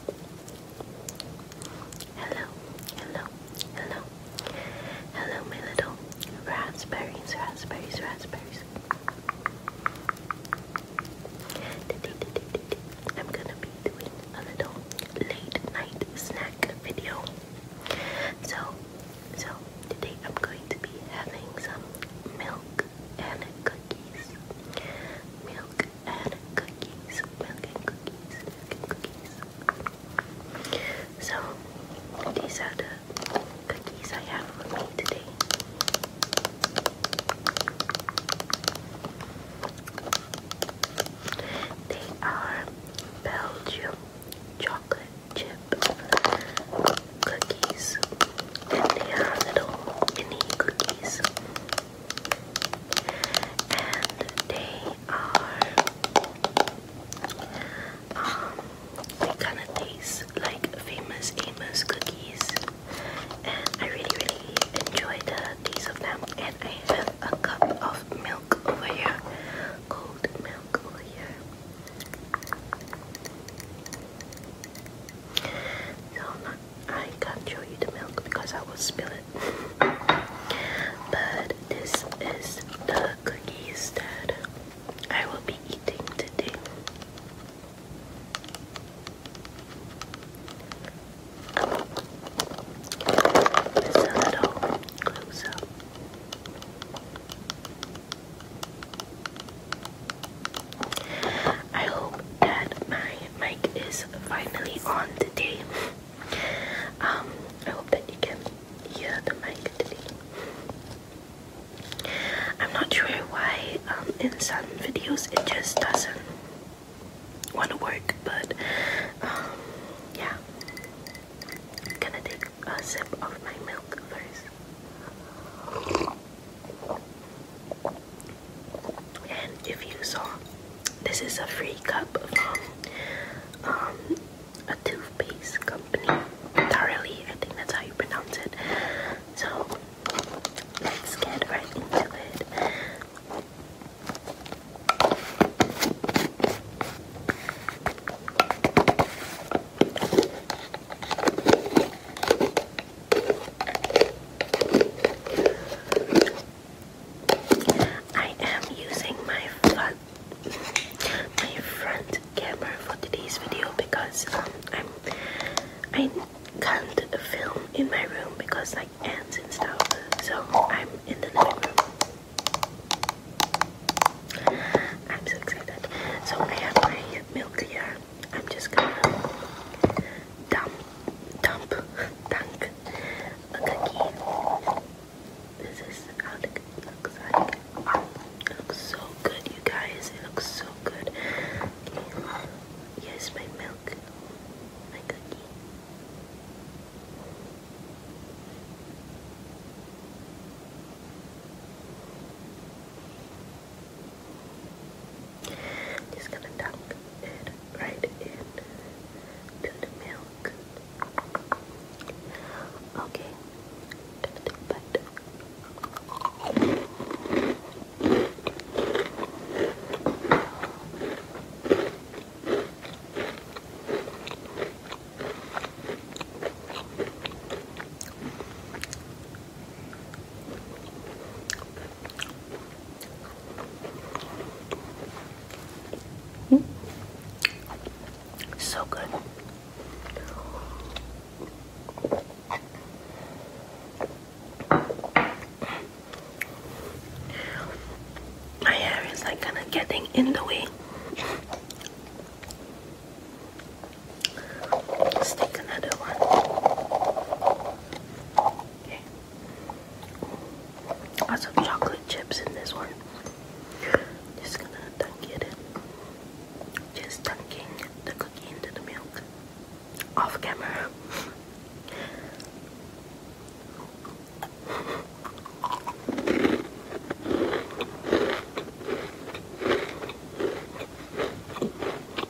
Hello, hello, hello, hello, my little raspberries, raspberries, raspberries. I'm gonna be doing a late night snack video. So, so today I'm going to be having some milk and cookies. Milk and cookies. Milk cookies. cookies. So these are the cookies I have with me today. They are Belgium chocolate chip cookies and they are little mini cookies and they are um kind of taste like famous Amos cookies and I really really enjoy the taste of them and I have a cup of milk over here cold milk over here so I can't show you the milk because I will spill it. But this is the cookies that I will be eating today. a little closer. I hope that my mic is finally on today. Um, I hope that you can hear the mic today. I'm not sure why um, in some videos it just doesn't want to work, but um, yeah. gonna take a sip of my milk first. And if you saw, this is a free cup of um, a toothpaste company, Tarly, I think that's how you pronounce it. So let's get right into it. I am using my front, my front camera for today's video because um, I'm I i can not film in my room because like ants and stuff. So I'm in the living room. I'm so excited. So I have my milk here. I'm just gonna dump, dump, dunk a cookie. This is how the cookie looks like. looks so good, you guys. It looks so good. Okay. my milk, my cookie. I'm just gonna dump it right in the milk. Okay, I'm gonna so good. My hair is like kind of getting in the way. Let's take another one. Lots of chocolate chips in this one. Just gonna dunk it in. Just dunking the cookie into the milk. Off camera.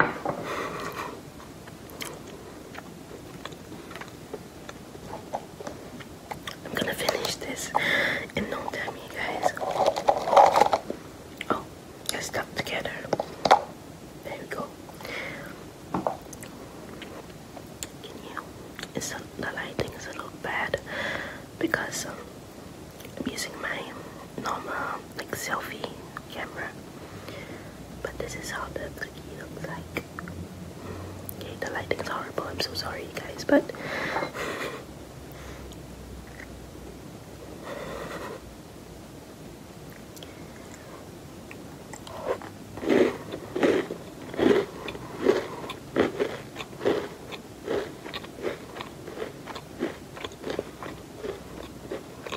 I'm gonna finish this in no time, you guys. Oh, it's stuck together. There we go. Can you? It's a, the lighting is a little bad because um, I'm using my normal like selfie camera. But this is how the flicky looks like. Okay, the lighting is horrible. I'm so sorry, guys, but.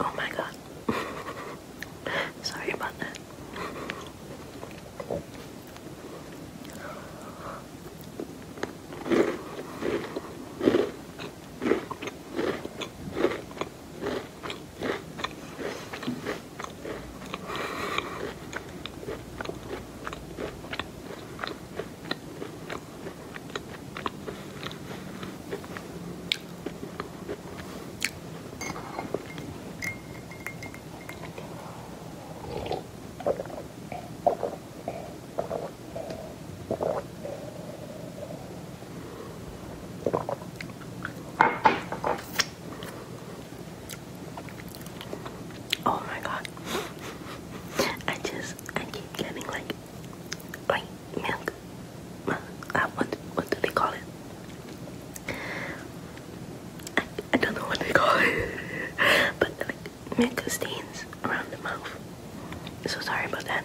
Oh my god. Sorry about that. Oh my god. I just I and keep getting like like milk. Uh, what what do they call it? I, I don't know what they call it, but like milk stains around the mouth. So sorry about that.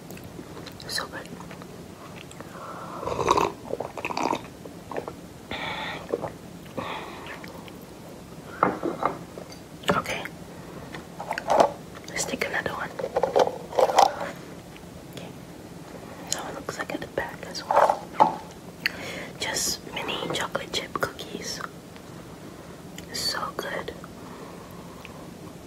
So good. Okay. Let's take another one. Okay. Now it looks like at the back as well. Just mini chocolate chip cookies. So good.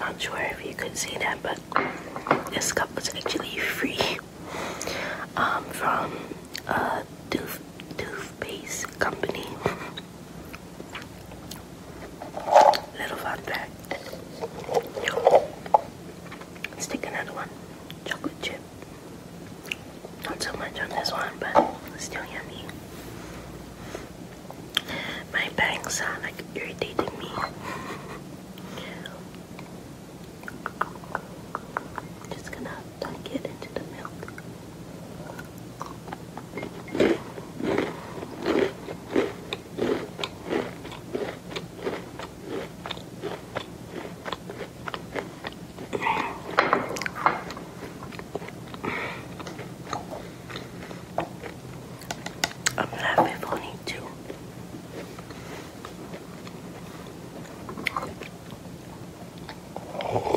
Not sure if you could see that, but this cup was actually free um, from a tooth toothpaste company. Little fun fact. Let's take another one. Chocolate chip. Not so much on this one, but still yummy. My bangs are like irritating me. Just gonna dunk it into the milk. I'm laughing funny too. Okay.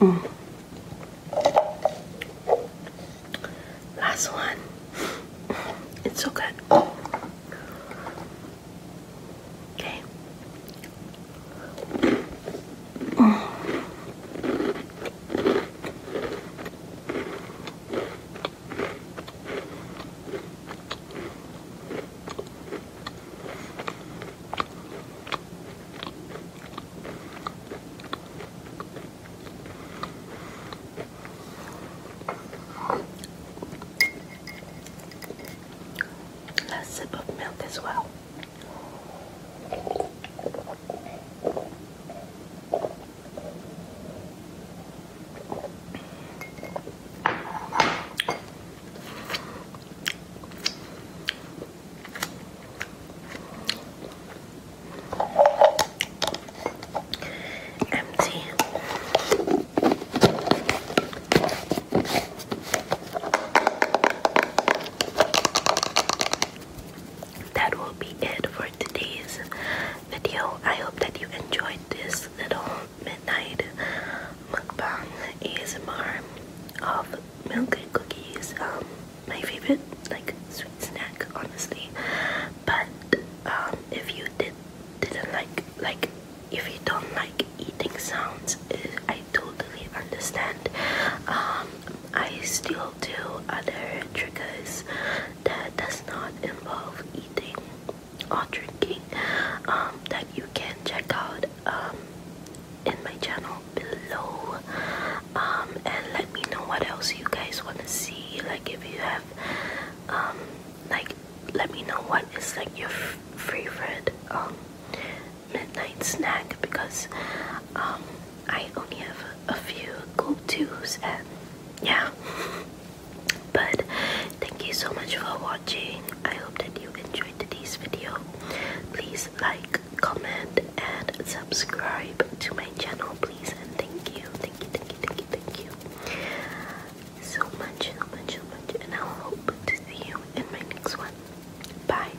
Mm. Last one. It's so good. Okay. Last sip of milk as well. Empty. That will be it for today's video. I hope that you enjoyed this little midnight mukbang ASMR of milk and cookies. Um, my favorite like sweet snack, honestly. But um, if you did didn't like like if you don't like eating sounds, eh, I totally understand. Um, I still do other triggers that does not involve eating or drinking um, that you can check out um, in my channel below um, and let me know what else you guys want to see like if you have like let me know what is like your favorite midnight snack because I only have a few go-to's and yeah But thank you so much for watching. I hope that you enjoyed today's video. Please like, comment, and subscribe to my channel, please. And thank you, thank you, thank you, thank you, thank you so much, so much, so much. And I hope to see you in my next one. Bye.